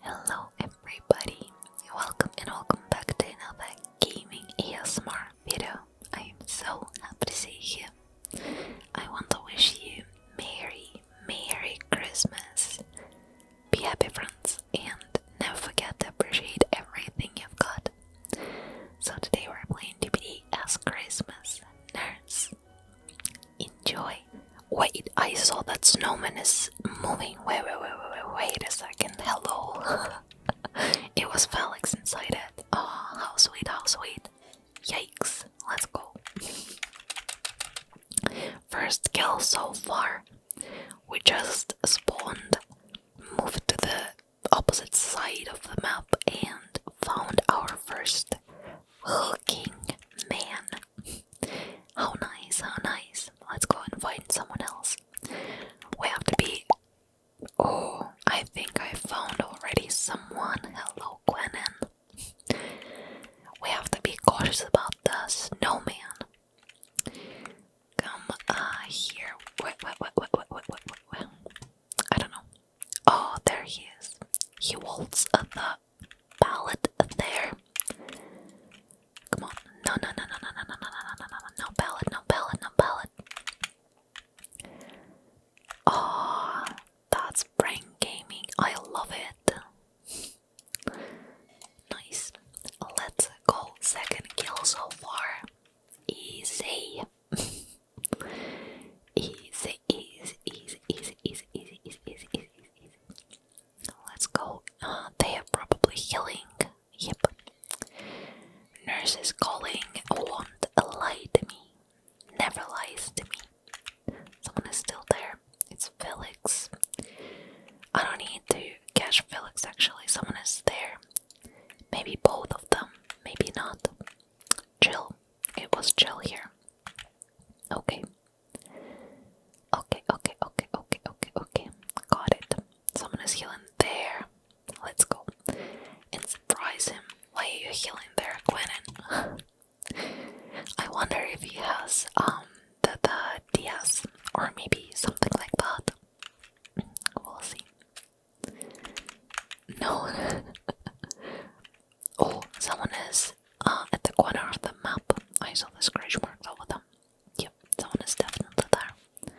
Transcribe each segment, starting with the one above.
Hello everybody, welcome and welcome back to another gaming ASMR video. I am so happy to see you. I want to wish you Merry, Merry Christmas. Be happy friends and never forget to appreciate everything you've got. So today we're playing DBD as Christmas Nurse enjoy. Wait, I saw that snowman is moving. Wait, wait, wait, wait, wait, wait a second. Hello. it was Felix inside it. Oh, how sweet, how sweet. Yikes. Let's go. First kill so far. We just spawned, moved to the opposite side of the map, and found our first hooking man. How nice, how nice. Let's go and find someone else. We have to be. Oh, I think I found already someone. Hello, Gwenon. We have to be cautious about the snowman. Come uh, here. Wait, wait, wait, wait, wait, wait, wait, I don't know. Oh, there he is. He waltzed the palette there. Come on. No, no, no, no, no, no, no, no, no, no, no, no, no palette, no palette, no palette. Oh, that's brain gaming. I love it. Nice. Let's go. Second kill so far. Easy. easy, easy, easy, easy, easy, easy, easy, easy, easy. Let's go. Uh, they are probably healing. Yep. Nurse is calling. Won't lie to me. Never lies to me. Someone is still there. It's Felix. I don't need to catch Felix actually. Someone is there. Maybe both of them. Maybe not. Jill. It was Jill here. Okay. Okay, okay, okay, okay, okay, okay. Got it. Someone is healing there. Let's go. And surprise him. Why are you healing there, Gwenin? I wonder if he has um the the DS or maybe something like that. We'll see. No Oh, someone is uh, at the corner of the map. I saw the scratch marks over them. Yep, someone is definitely there.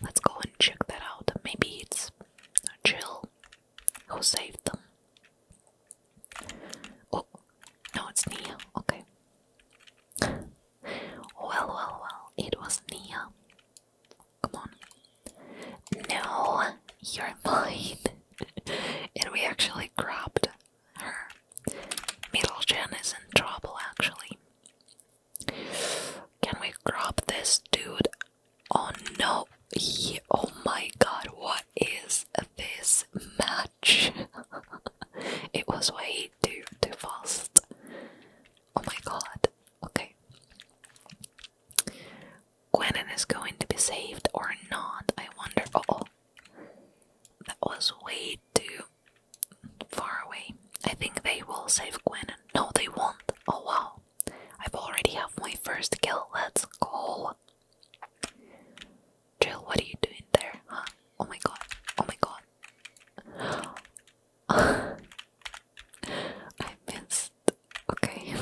Let's go and check that out. Maybe it's Jill who saved them. Oh, no, it's Nia. Okay. well, well, well, it was Nia. Come on. No, you're mine. and we actually cropped her. Middle Jen is in trouble actually. Can we crop this dude? Oh no! oh my god, what is this match? it was way too, too fast. Oh my god. Okay. Gwenon is going to be saved or not, I wonder. oh, that was way too far away. I think they will save Gwenon. No, they won't. Oh wow, I've already have my first kill. Let's go. Jill, what are you doing there? Huh? Oh my god. Oh my god. I missed. Okay.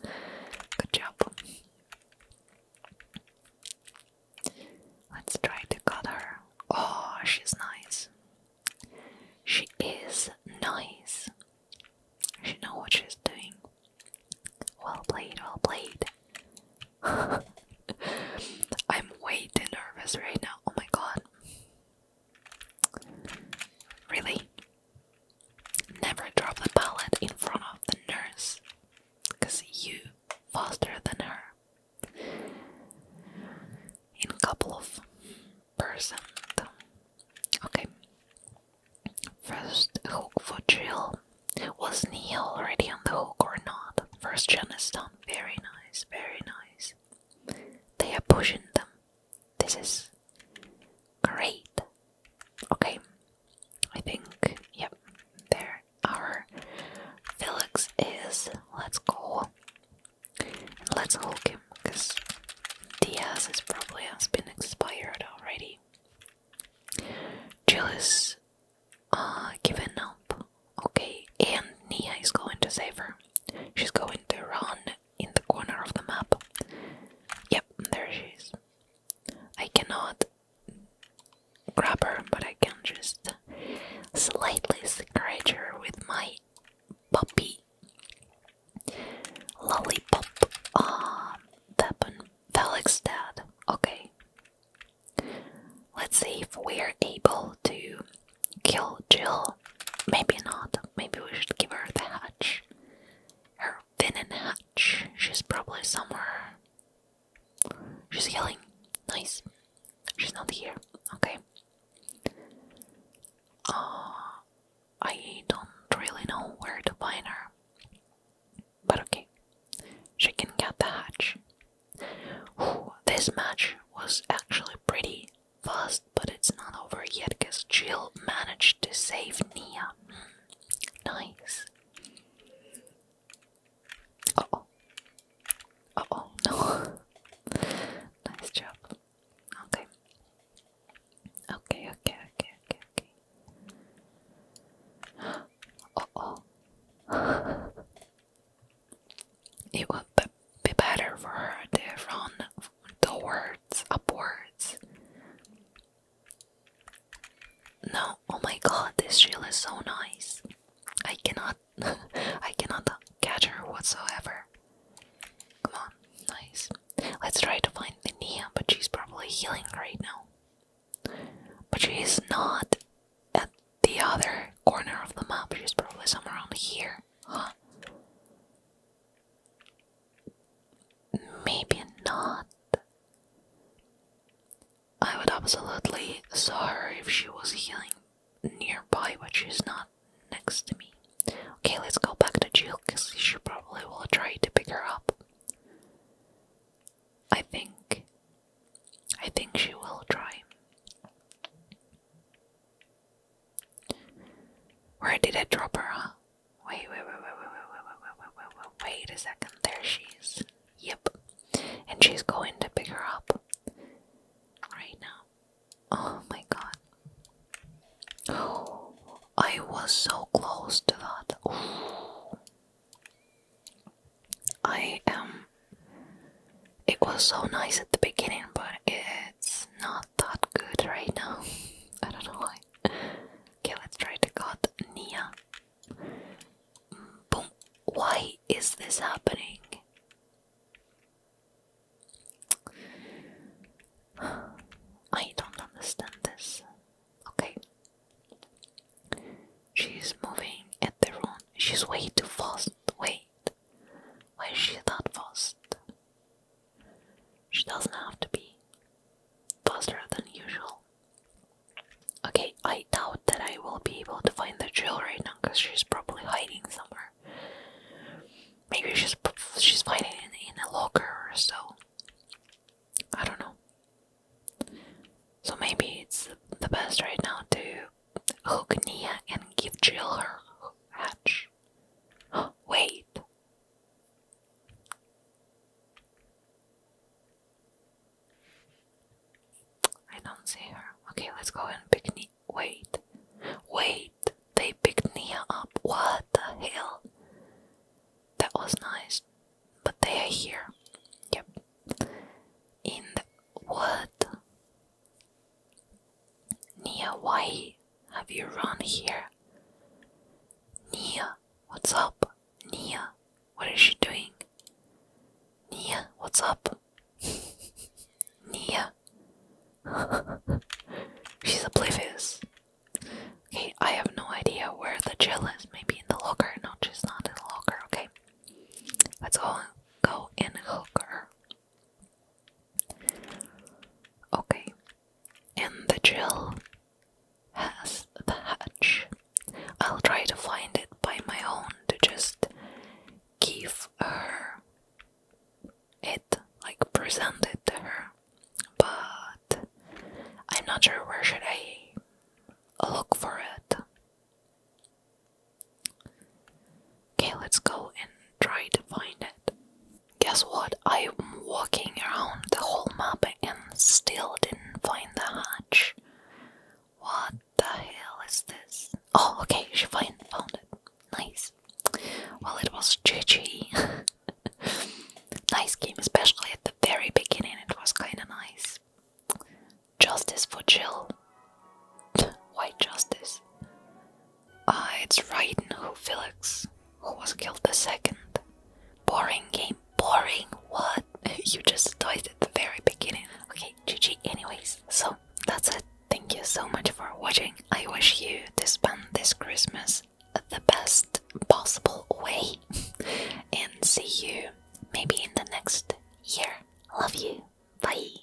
Good job. Let's try to cut her. Oh, she's nice. She is nice. She knows what she's doing. Well played, well played. I'm way too nervous right now. Oh my god. Really? Never drop the palette in front of the nurse, because you faster than her. In a couple of percent. Okay. First hook for Jill. Was Neil already on the hook or not? First John is done. Very nice, very nice. They are pushing them. This is Great. Okay. I think, yep, there. are. Felix is. Let's go. And let's hook him, because Diaz is probably has been expired already. Jill is uh, given up. Okay, and Nia is going to save her. She's going to run in the corner of the map. Yep, there she is. I cannot grab her, but I can just slightly scratch her with my puppy. Lollipop. Ah, uh, Felix dad. Okay. Let's see if we're able to kill Jill. Maybe not. Maybe we should give her the hatch her fin and hatch. She's probably somewhere. She's yelling. Nice. She's not here. Okay. Uh, I don't really know where to find her. But okay. She can get the hatch. this match was actually pretty fast, but it's not over yet because Jill managed to save Nia. Hmm. nice. oh. oh, no. nice job. Okay. Okay, okay, okay, okay, oh. it would be better for her to run toward upwards, No, oh my god, this shield is so nice. I cannot, I cannot catch her whatsoever. Come on, nice. Let's try to find the Minia, but she's probably healing right now. But she is not at the other corner of the map. She's probably somewhere around here. Maybe not. I would absolutely saw her if she was healing nearby, but she's not next to me. Okay, let's go back to Jill because she probably will try to pick her up. I think. I think she will try. Where did I drop her, huh? Wait, wait, wait, wait, wait, wait, wait, wait, wait, wait a second. There she is. Yep. And she's going to pick her up right now. Oh my god. Oh, I was so close to that. Ooh. I am. Um, it was so nice at the beginning, but it's not not good right now. I don't know why. Okay, let's try to cut Nia. Mm, boom. Why is this happening? I don't understand this. Okay. She's moving at the wrong. She's way too fast. Wait. Why is she that fast? She doesn't have to be faster than usual. Okay, I doubt that I will be able to find the drill right now because she's probably hiding somewhere. Maybe she's she's hiding in, in a locker or so. I don't know. So maybe it's the best right now to hook Nia and give Jill her hatch. Wait. I don't see her. Okay, let's go and pick Nia. Wait. Wait. They picked Nia up. What the hell? That was nice. But they are here. Yep. In the. What? Nia, why have you run here? Nia, what's up? Nia, what is she doing? Nia, what's up? Nia. She's oblivious. Okay, I have no idea where the gel is. Maybe in the locker. No, she's not in the locker. Okay. Let's all go in the locker. Okay, and the Jill has the hatch. I'll try to find it by my own to just give her it, like present it to her. But I'm not sure where should I look for it. Okay, let's go and try to find it. Guess what? I'm walking around the whole map and still didn't find the hatch. What the hell is this? Oh, okay, she find, found it. Nice. Well, it was GG. nice game, especially at the very beginning, it was kinda nice. Justice for Jill. Why justice? Ah, it's Raiden who Felix, who was killed the second. Boring game, boring. What? you just died at the very beginning. Okay, GG. Anyways, so that's it. Thank you so much for watching. I wish you to spend this Christmas the best possible way, and see you maybe in the next year. Love you. Bye.